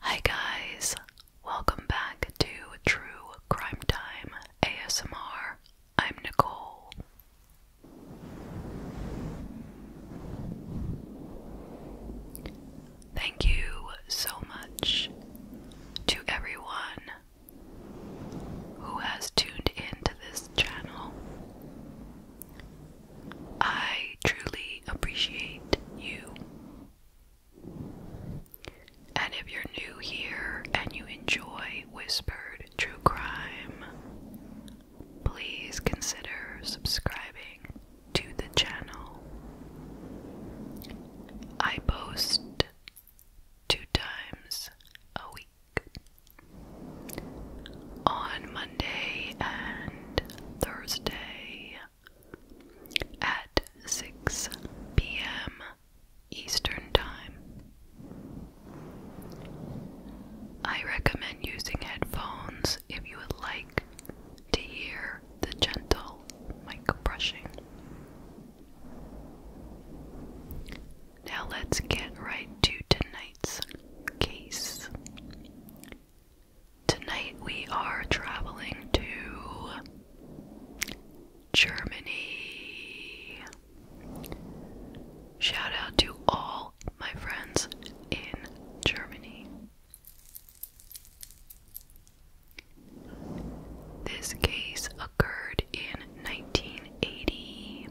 Hi guys, welcome back to True Crime Time ASMR. I'm Nicole. Thank you so much to everyone who has tuned into this channel. I truly appreciate you. And if you're new here and you enjoy Whispered True Crime, please consider subscribing to the channel. I post two times a week on Monday and Thursday at 6 p.m. Eastern Time. I recommend using headphones if you would like to hear the gentle mic now let's get right to tonight's case. Tonight we are traveling to Germany. Shout out to all my friends in Germany. This case occurred in 1980,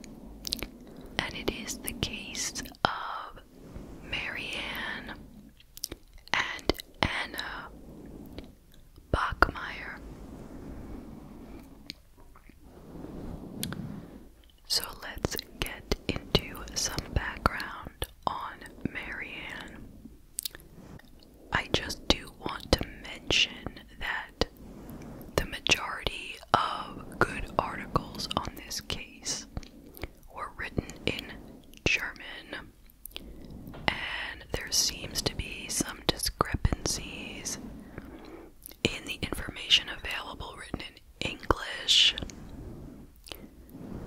and it is the case of Marianne and Anna Bachmeyer. So let's get into some background on Marianne. I just do want to mention that the majority of good articles on this case were written in German, and there seems to be some discrepancies in the information available written in English.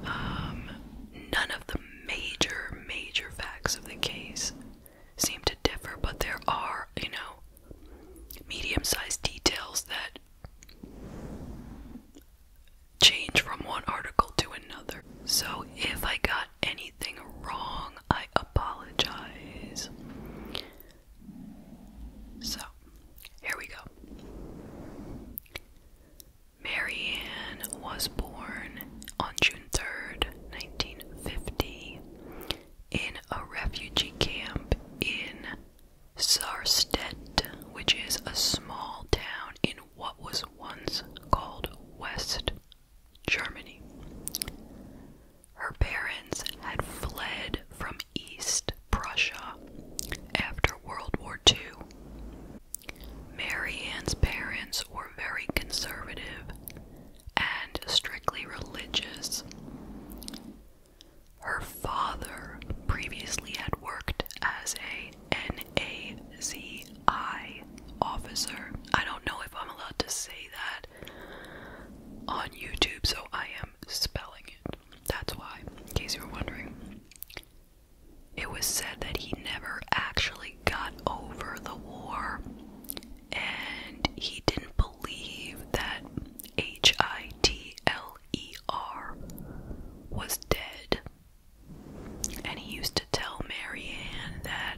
Um, none of the major, major facts of the case seem to differ, but there are, you know, medium sized details that change from one article to another. So if I got anything wrong, I apologize. So, here we go. Marianne was born on June 3rd, 1950, in a refugee camp in Sarstedt, which is a small town in what was once called West Germany. Her parents had fled from East Prussia after World War II. Mary parents were very conservative and strictly religious. Her father previously had worked as a NAZI officer. I don't know if I'm allowed to say that on YouTube, so I am spelling it. That's why, in case you were wondering. It was said that he never actually got over the war and he didn't believe that H I T L E R was dead. And he used to tell Marianne that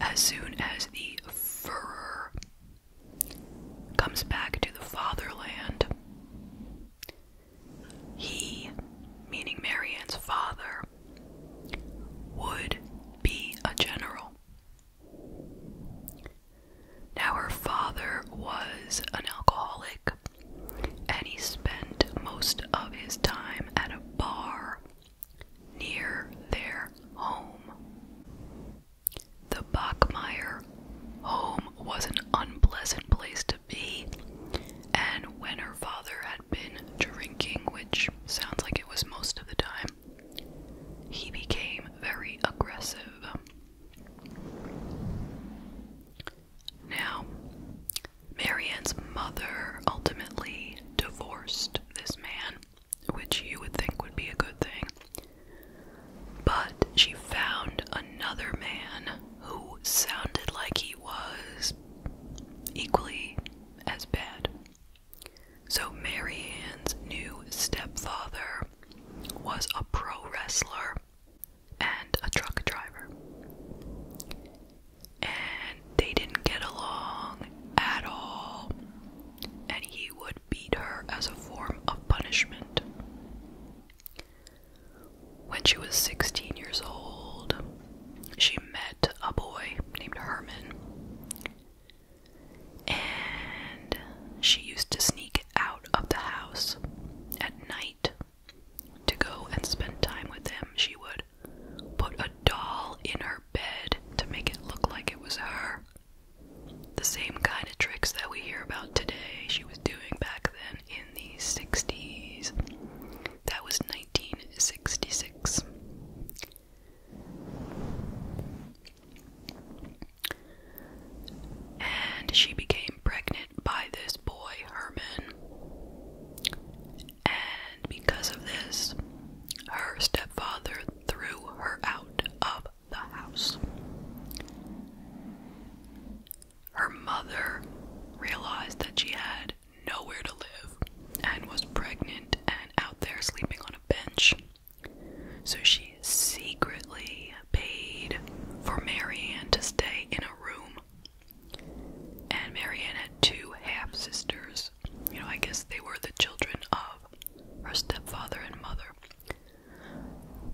as soon as the furrer comes back to the fatherland, he, meaning Marianne's father, would be a general. Now, her father was an alcoholic, and he spent most of his time at a bar near their home. The Bachmeyer home was an unpleasant place to be, and when her father had been drinking, which sounds like it was most of the time, he became very aggressive. Now, Marianne's mother ultimately divorced this man, which you would think would be a good thing. But she found another man who sounded like he was equally as bad. So, Mary Ann's new stepfather was a pro wrestler and a truck driver. And they didn't get along at all. And he would beat her as a form of punishment. When she was 16 years old, she met a boy named Herman. And she used to sneak out of the house at night to go and spend time with him. She would put a doll in her bed to make it look like it was her. The same kind of tricks that we hear about today, she was doing back then in the 60s. That was 1966. And she became pregnant by this boy, Herman. And because of this, her stepfather threw her out of the house. Her mother realized that she had nowhere to live and was pregnant and out there sleeping on a bench. So she secretly paid for Marianne to stay in a room. And Marianne had two half sisters. You know, I guess they were the children of her stepfather and mother.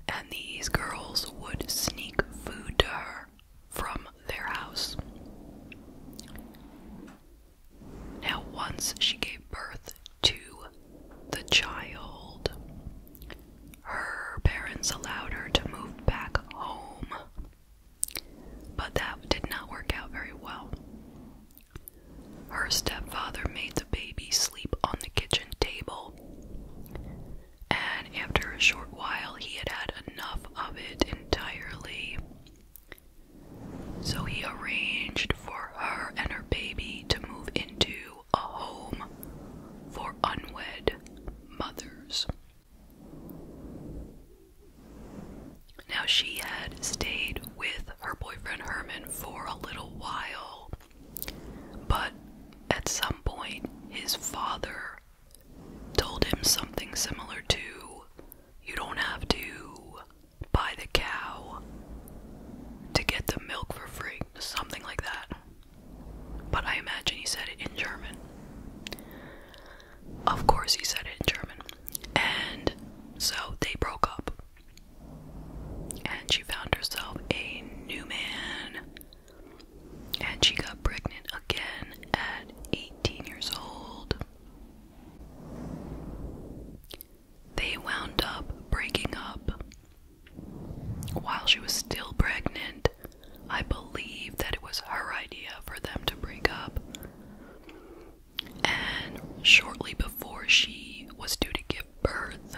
And these girls would sneak food to her from their house. Now, once she gave birth to the child, her parents allowed her to move back home, but that did not work out very well. Her stepfather made the baby sleep on the kitchen table, and after a short while, he had had enough of it entirely. So he arranged for her and her baby to move into a home for unwed mothers. Now, she had stayed with her boyfriend Herman for a little while, but at some point, his father told him something similar to you don't have to buy the cow to get the milk for free, something like that. But I imagine he said it in German. Of course, he said it in German. And so they broke up. And she found herself a new man. And she got pregnant again at 18 years old. They wound up breaking up. While she was still pregnant, I believe that it was her idea for them to break up. And shortly before she was due to give birth,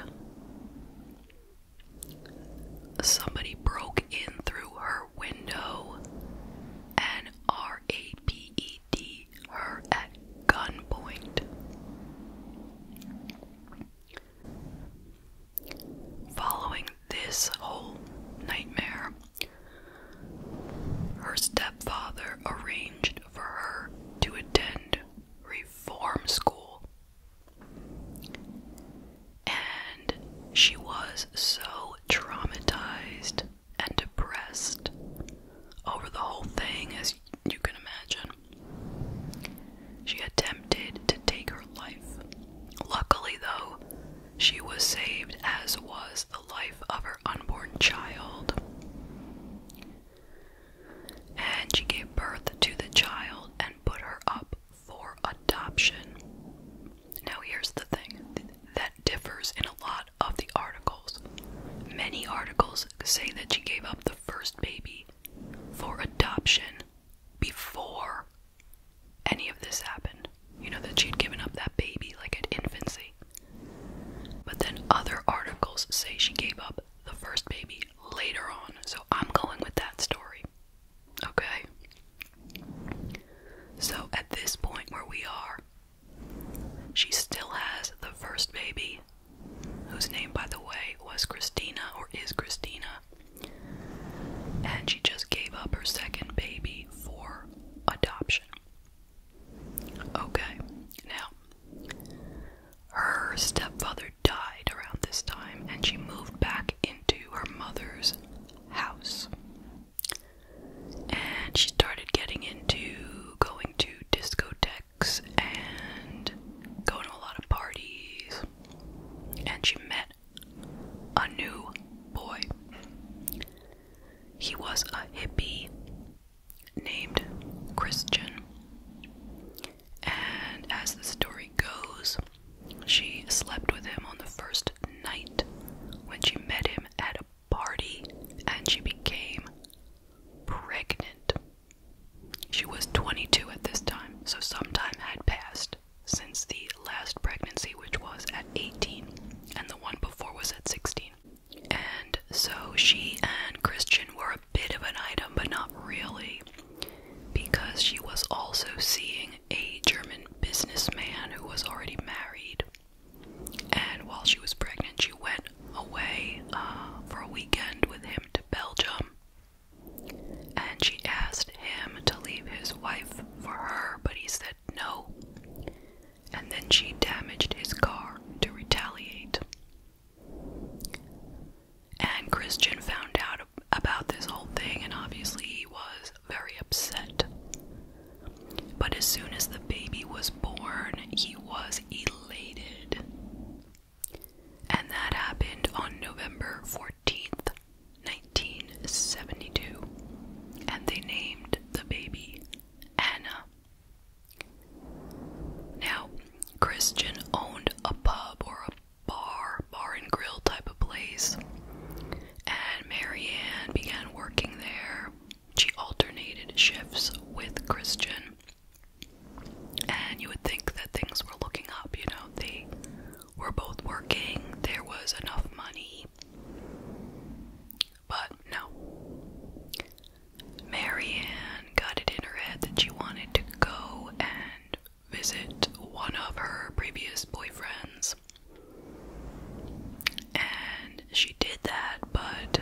somebody broke in through her window and R A P E D her at gunpoint. Following this whole nightmare, her stepfather arranged for her to attend reform school. And she was so traumatized and depressed over the whole thing, as you can imagine. She attempted to take her life. Luckily, though, she was saved, as was the life of her unborn child. And she gave birth to the child and put her up for adoption. Now, here's the thing that differs in a lot of the articles. Many articles say that she gave up the first baby for adoption before any of this happened. You know, that she had given up that baby like at infancy. But then other articles say she gave up the first baby later on, so I'm going with that story. Okay? So at this point where we are, she still has the first baby, whose name, by the way, was Christina or is Christina. And she just gave up her second baby for adoption. Okay, now, her stepfather died around this time and she moved back into her mother's house and she started getting into going to discotheques and going to a lot of parties. And she met a new boy. He was a hippie named Christian. And as the story goes, she slept with him on the first night when she met him at a party and she became pregnant. She was 22 at this time, so some time had passed since the last pregnancy, which was at 18, and the one before was at 16. And so she and Christian were a bit of an item, but not really, because she was also seeing a German businessman who was already married. And while she was pregnant, she went away uh, for a weekend with him to Belgium. And she asked him to leave his wife for her, but he said no. And then she damaged his car to retaliate. And Christian found out about this whole thing, and obviously he was very upset. But as soon as the baby was born, he was elated. And that happened on November 14th, 1972. And they named the baby Anna. Now, Christian owned a pub or a bar, bar and grill type of place. And Marianne began working there she alternated shifts with Christian. And you would think that things were looking up, you know, they were both working, there was enough money. But no. Marianne got it in her head that she wanted to go and visit one of her previous boyfriends. And she did that, but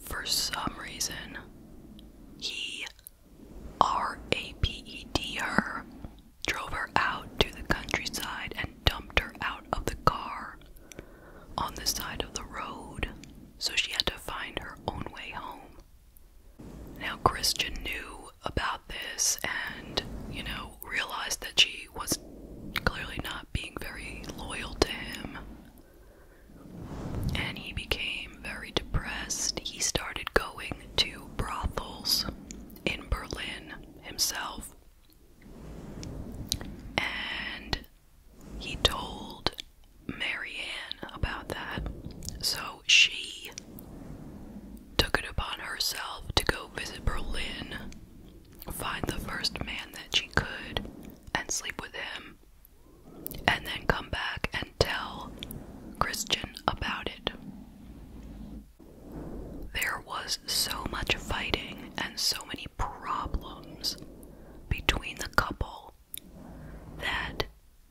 for some reason, he RAPED her, drove her out to the countryside, and dumped her out of the car on the side of the road, so she had to find her own way home. Now, Christian knew about this and, you know, realized that she was clearly not being very loyal to him. And he became very depressed. He started going to brothels in Berlin himself. And he told Marianne about that. So she took it upon herself to go visit Berlin find the first man that she could and sleep with him, and then come back and tell Christian about it. There was so much fighting and so many problems between the couple that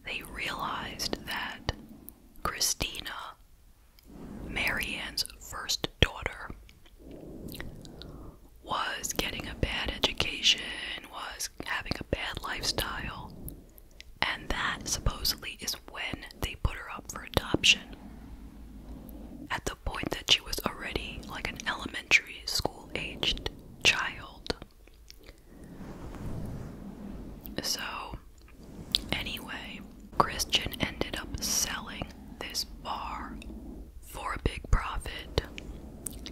they realized that Christina Marianne's first daughter was getting a bad education, was having a bad lifestyle, and that supposedly is when they put her up for adoption. At the point that she was already like an elementary school aged child. So Anyway, Christian ended up selling this bar for a big profit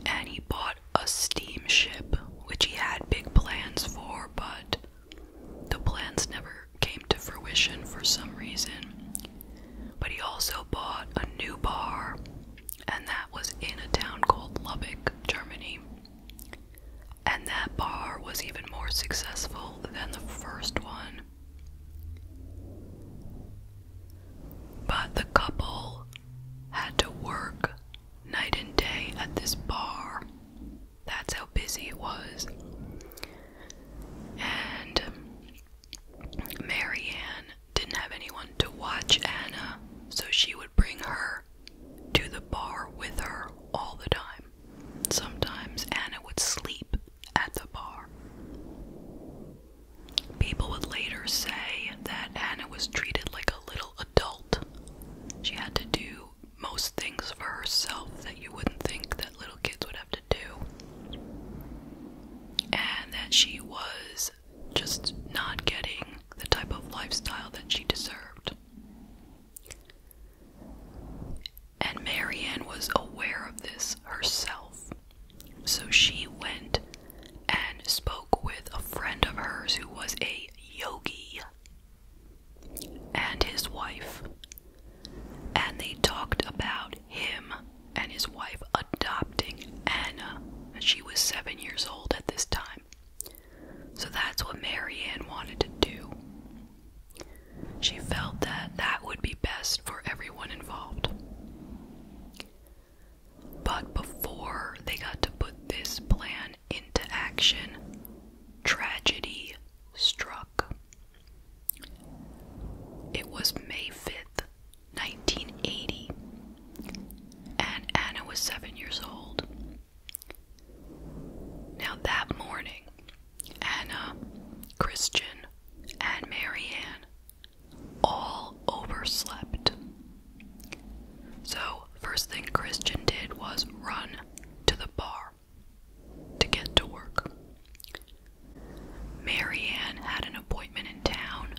and he bought a steamship, which he had big plans for, but the plans never came to fruition for some reason. But he also bought a new bar, and that was in a town called Lubec, Germany. And that bar was even more successful than the first one. But the couple had to work night and day at this bar. That's how busy it was. And Marianne didn't have anyone to watch Anna, so she would bring her to the bar with her all the time. Sometimes Anna would sleep at the bar. People would later say that Anna was treated like a little adult. She had to do most things for herself that you wouldn't think that little kids would have to do. And that she was just not getting the type of lifestyle that she deserved. And Marianne was aware of this herself. So she went and spoke with a friend of hers who was a yogi and his wife. And they talked about him and his wife adopting Anna. she was seven years old at this time. So that's what Marianne wanted to do. She felt that that would be best for everyone involved. But before they got to put this plan into action, tragedy struck. It was May 5th, 1980, and Anna was seven years old. Now, that morning, Anna, Christian, and Marianne all overslept. So, first thing Christian did was run to the bar to get to work. Marianne had an appointment in town,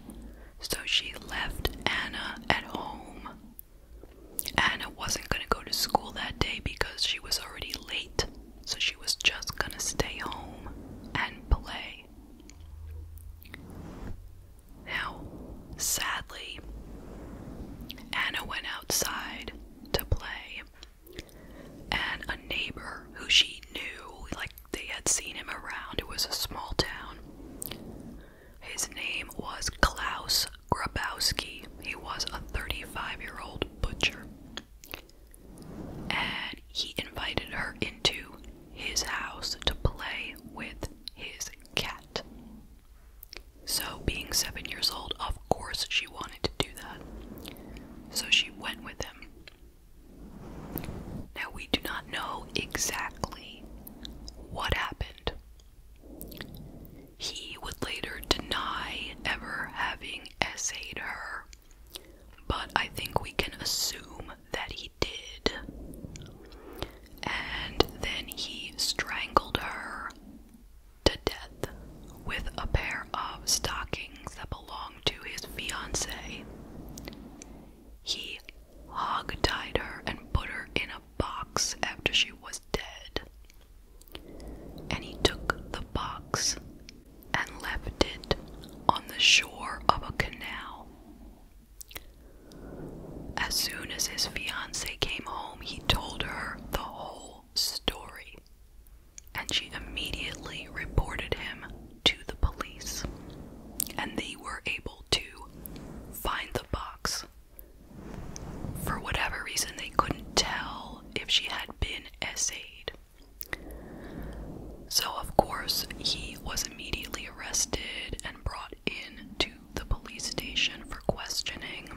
so she left Anna at home. Anna wasn't going to go to school that day because she was already late so she was just gonna stay home and play. Now, sadly, Anna went outside to play, and a neighbor who she knew, like they had seen him around, it was a small town. His name was Klaus Grabowski. He was a 35 year old butcher and he invited her into his house to play with his cat. So, being seven years old, of course she wanted to do that. So she went with him. Now, we do not know exactly what happened. He would later deny ever having essayed her, but I think we can assume that he did. And then he strangled her to death with a pair of stockings that belonged to his fiancée. He hog tied her and put her in a box after she was dead. And he took the box and left it on the shore of a canal. As soon as his fiancee came home, he told her the whole story, and she immediately reported him to the police. And they were able to find the box. For whatever reason, they couldn't tell if she had been essayed. So, of course, he was immediately arrested and brought in to the police station for questioning.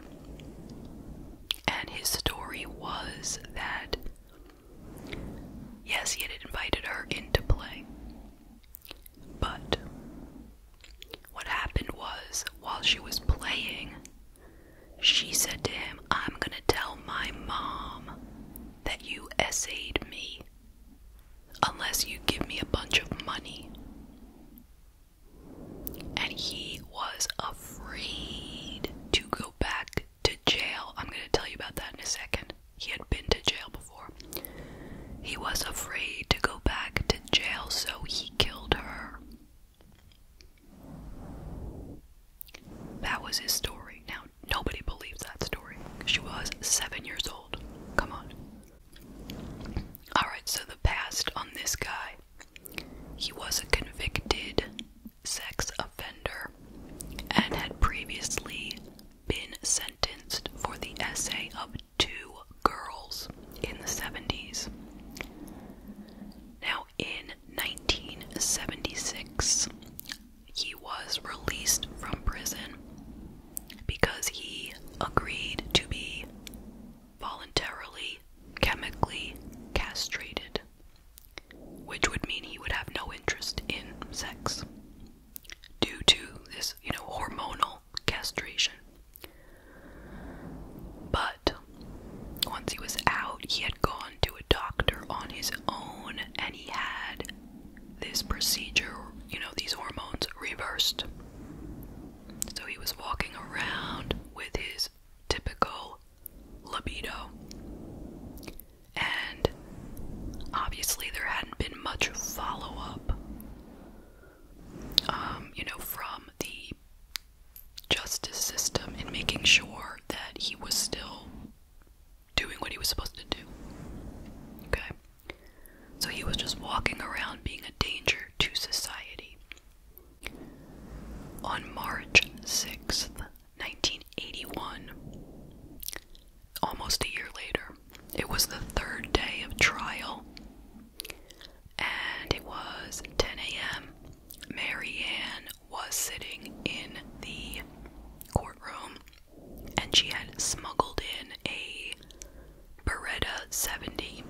And his story was that, yes, he had invited her into play. But what happened was, while she was playing, she said to him, I'm going to tell my mom that you essayed me unless you give me a bunch of money. And he was afraid to go back to jail. I'm going to tell you about that in a second. He had been to jail before. He was afraid to go back to jail, so he killed her. That was his story. Now, nobody believes that story. She was seven years old. Come on. Alright, so the past on this guy he was a convicted sex offender and had previously been sentenced for the essay of two girls in the 70s. Now, in 1976, he was released from prison because he agreed to be voluntarily chemically castrated, which would mean he would have no interest in sex due to this, you know, hormonal castration. But once he was out, he had gone to a doctor on his own and he had this procedure, you know, these hormones reversed. So he was walking around with his typical libido. And obviously, there hadn't been much follow up, um, you know, from the justice system and making sure that he was still doing what he was supposed to do. Okay? So he was just walking around being a danger to society. On March 6th, 1981, almost a year later, it was the third day of trial, and it was 10 a.m. Mary was sitting in the courtroom and she had smuggled in a Beretta 70.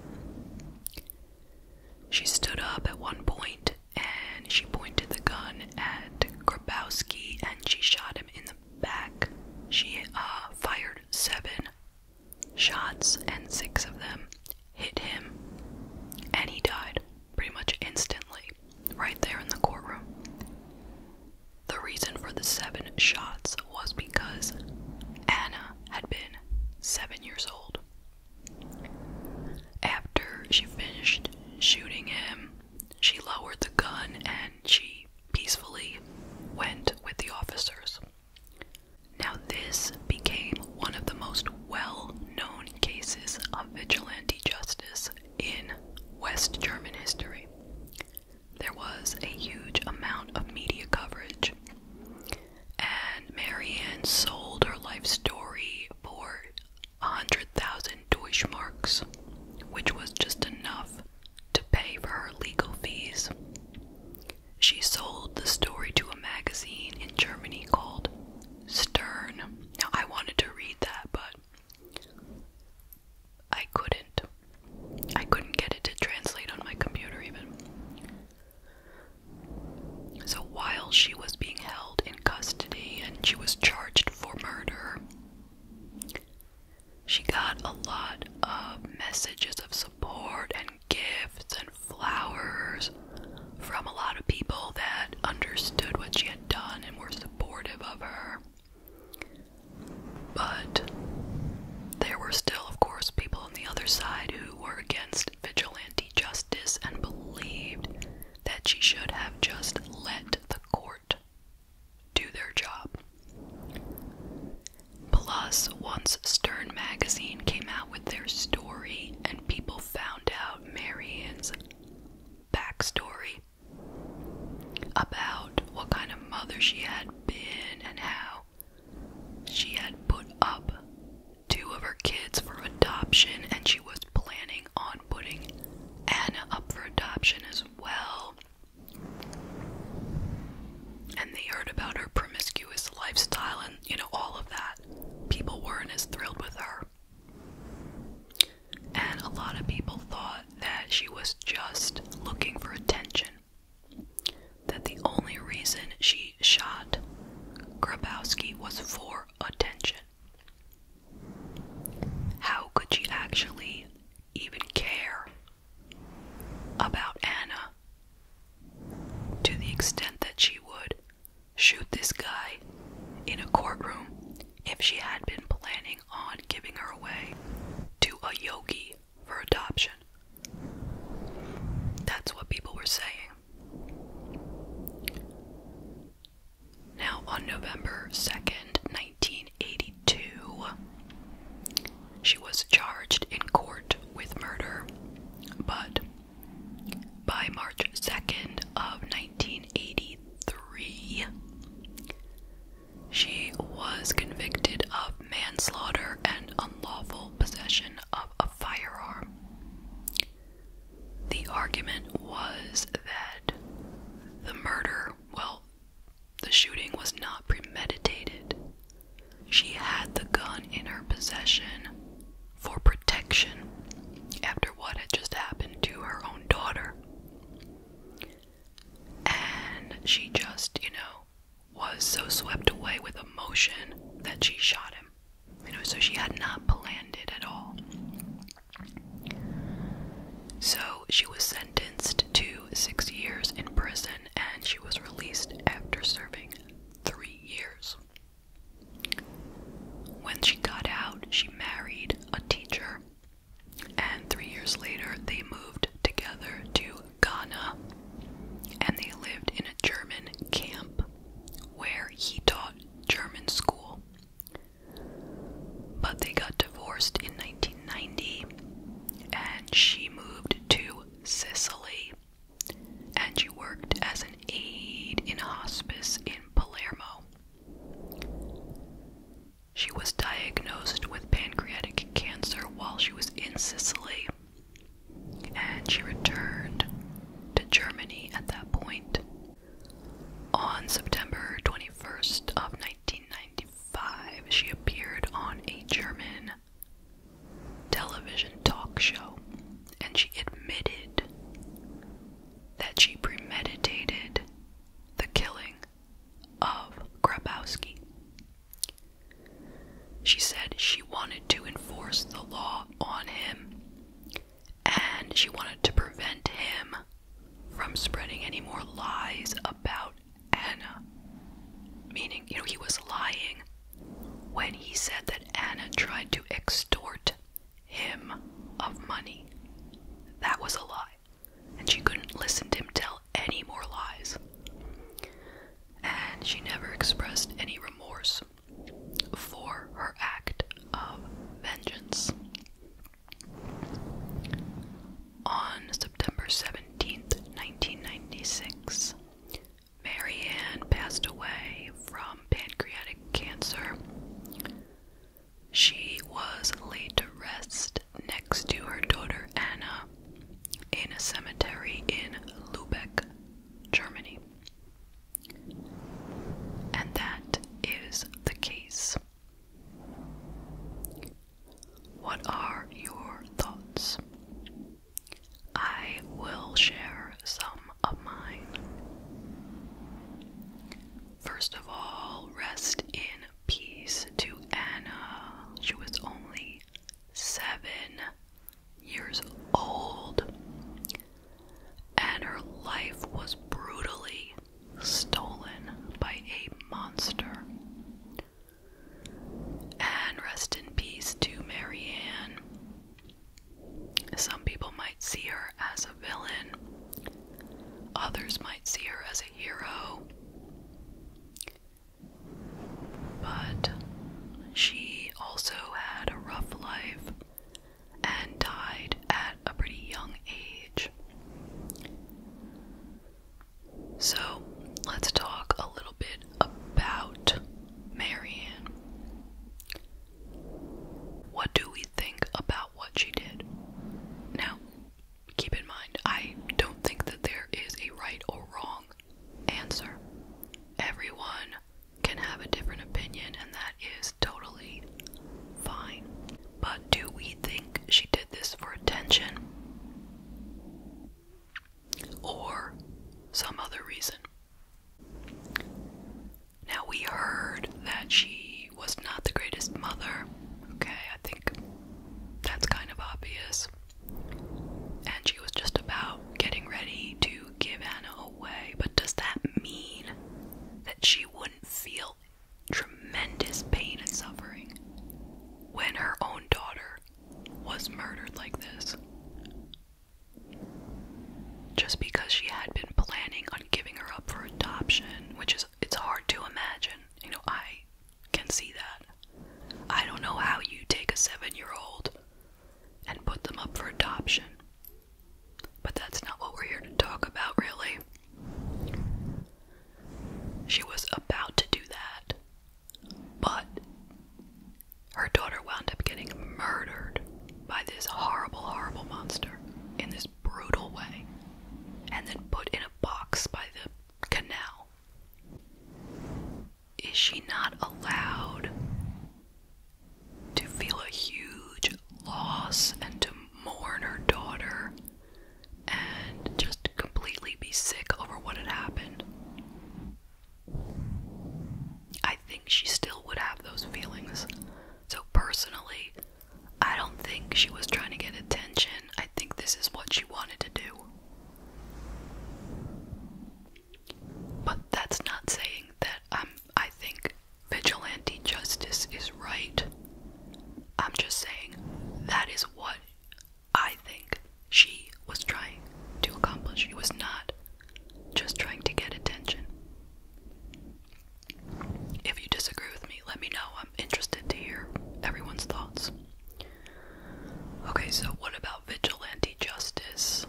She stood up at one point and she pointed the gun at Grabowski and she shot him in the back. She uh, fired seven shots and six of them hit him, and he died pretty much instantly right there in the courtroom. The reason for the seven shots was because Anna had been seven years old. After she finished shooting him, she lowered the gun and she peacefully went with the officers. Now, this became one of the most well known cases of vigilante justice in West German history. There was a huge amount of media coverage, and Marianne sold her life story for 100,000 Deutschmarks, which was just enough to pay for her legal fees. She sold the story to a magazine in Germany called Stern. Now, I wanted to read that, but I couldn't. I couldn't get it to translate on my computer, even. So, while she was being held in custody and she was charged for murder, she got a lot of messages of support and gifts and flowers from a lot of people that understood what she had done and were supportive of her. But there were still, of course, people on the other side who were against vigilante justice and believed that she should have just let the court do their job. Plus, once Stern Magazine came out with their story and people found out Marianne's backstory about what kind of mother she had been and how she had put up two of her kids for adoption and she was planning on putting Anna up for adoption as well. And they heard about her promiscuous lifestyle and, you know, all of that people weren't as thrilled with her. And a lot of people thought that she was just looking for attention. That the only reason she shot Grabowski was for attention. How could she actually even care about Anna to the extent that she would shoot this guy in a courtroom if she had been planning on giving her away to a yogi for adoption. That's what people were saying. Now, on November 2nd, 1982, she was charged in court with murder, but by March 2nd of 1983, she was convicted of manslaughter and unlawful possession of a firearm. The argument was that the murder, well, the shooting was not premeditated. She had the gun in her possession for protection after what had just happened to her own daughter. And she just, you know, was so swept away with emotion that she shot him. You know, so she had not planned it at all. So she was sentenced to six years in prison and she was released after serving three years. When she got out, she married a teacher, and three years later, they moved together to Ghana and they lived in a German camp where he taught German school. But they got divorced in 1990 and she moved to Sicily and she worked as an aide in hospice in Palermo. She was diagnosed with pancreatic cancer while she was in Sicily, and she returned to Germany at that point. On September 21st of 1995, she appeared on a German television talk show and she admitted that she premeditated the killing of Grabowski. She said she wanted to enforce the law on him and she wanted to prevent him from spreading any more lies about Anna. Meaning, you know, he was lying when he said that Anna tried to extort him of money. That was a lie, and she couldn't listen to him tell any more lies. And she never expressed any remorse for her act of vengeance. On September 17th, 1996, Marianne passed away from pancreatic cancer. She was laid to rest next to her daughter Anna in a cemetery in Lübeck, Germany. And that is the case. What are your thoughts? I will share some of mine. First of all, rest in peace to Anna. She was only seven years old, and her life was brutally stolen by a monster. And rest in peace to Marianne. Some people might see her as a villain, others might see her as a hero. But she also had a rough life and died at a pretty young age. So let's talk a little bit about Marianne. What do we think about what she did? Now, keep in mind, I don't think that there is a right or wrong answer. Everyone can have a different opinion, and that is totally fine. But do we think she did this for attention? Or some other reason? Now, we heard that she was not the greatest mother. Okay, I think that's kind of obvious. And she was just about getting ready to give Anna away. But does that mean that she wouldn't feel tremendous pain and suffering when her own daughter was murdered like this? Just because she had been planning on giving her up for adoption, which is it's hard to imagine. You know, I can see that. I don't know how you take a 7-year-old and put them up for adoption. But that's not what we're here to talk about, really. She was about to do that, but her daughter wound up getting murdered by this horrible, horrible monster in this brutal way, and then put in a box by the canal. Is she not allowed to feel a huge loss and to mourn her daughter and just completely be sick over what had happened? I think she still would have those feelings. So, personally, I don't think she was trying to get attention. I think this is what she wanted to do. But that's not saying that I'm, I think vigilante justice is right. I'm just saying that is what I think she was trying to accomplish. She was not just trying to get attention. If you disagree with me, let me know. I'm interested to hear everyone's thoughts. Okay, so what about vigilante justice?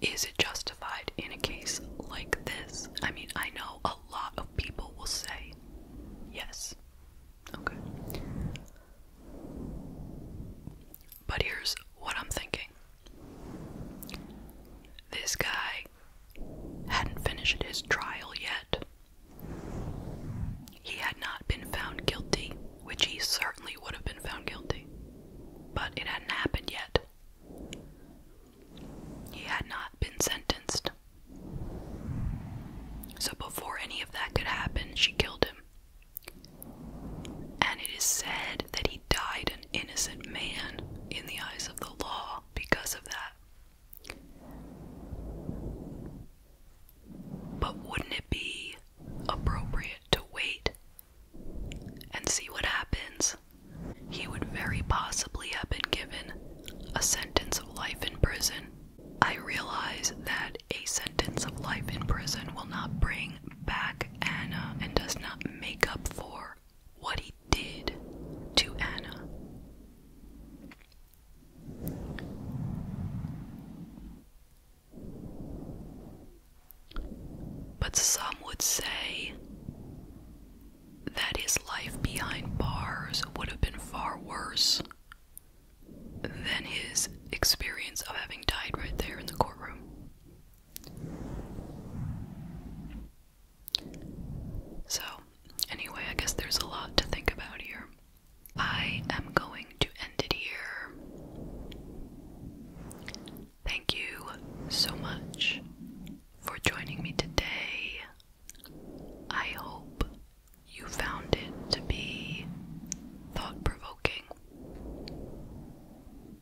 Is it justified in a case like this? I mean, I know a lot of people will say yes. Okay. But here's what I'm thinking this guy hadn't finished his trial yet. He had not been found guilty, which he certainly would have been found guilty, but it hadn't happened yet. He had not been sentenced. So, before any of that could happen, she killed him and it is said that he died an innocent man in the eyes of the law because of that. But wouldn't it be appropriate to wait and see what happens? He would very possibly have been given a sentence of life in prison. I realize that a sentence of life in prison will not bring back Anna and does not make up for what he did to Anna. But some would say that his life behind bars would have been far worse than his experience of having died right there in the courtroom. So, anyway, I guess there's a lot to think about here. I am going to end it here. Thank you so much for joining me today. I hope you found it to be thought provoking.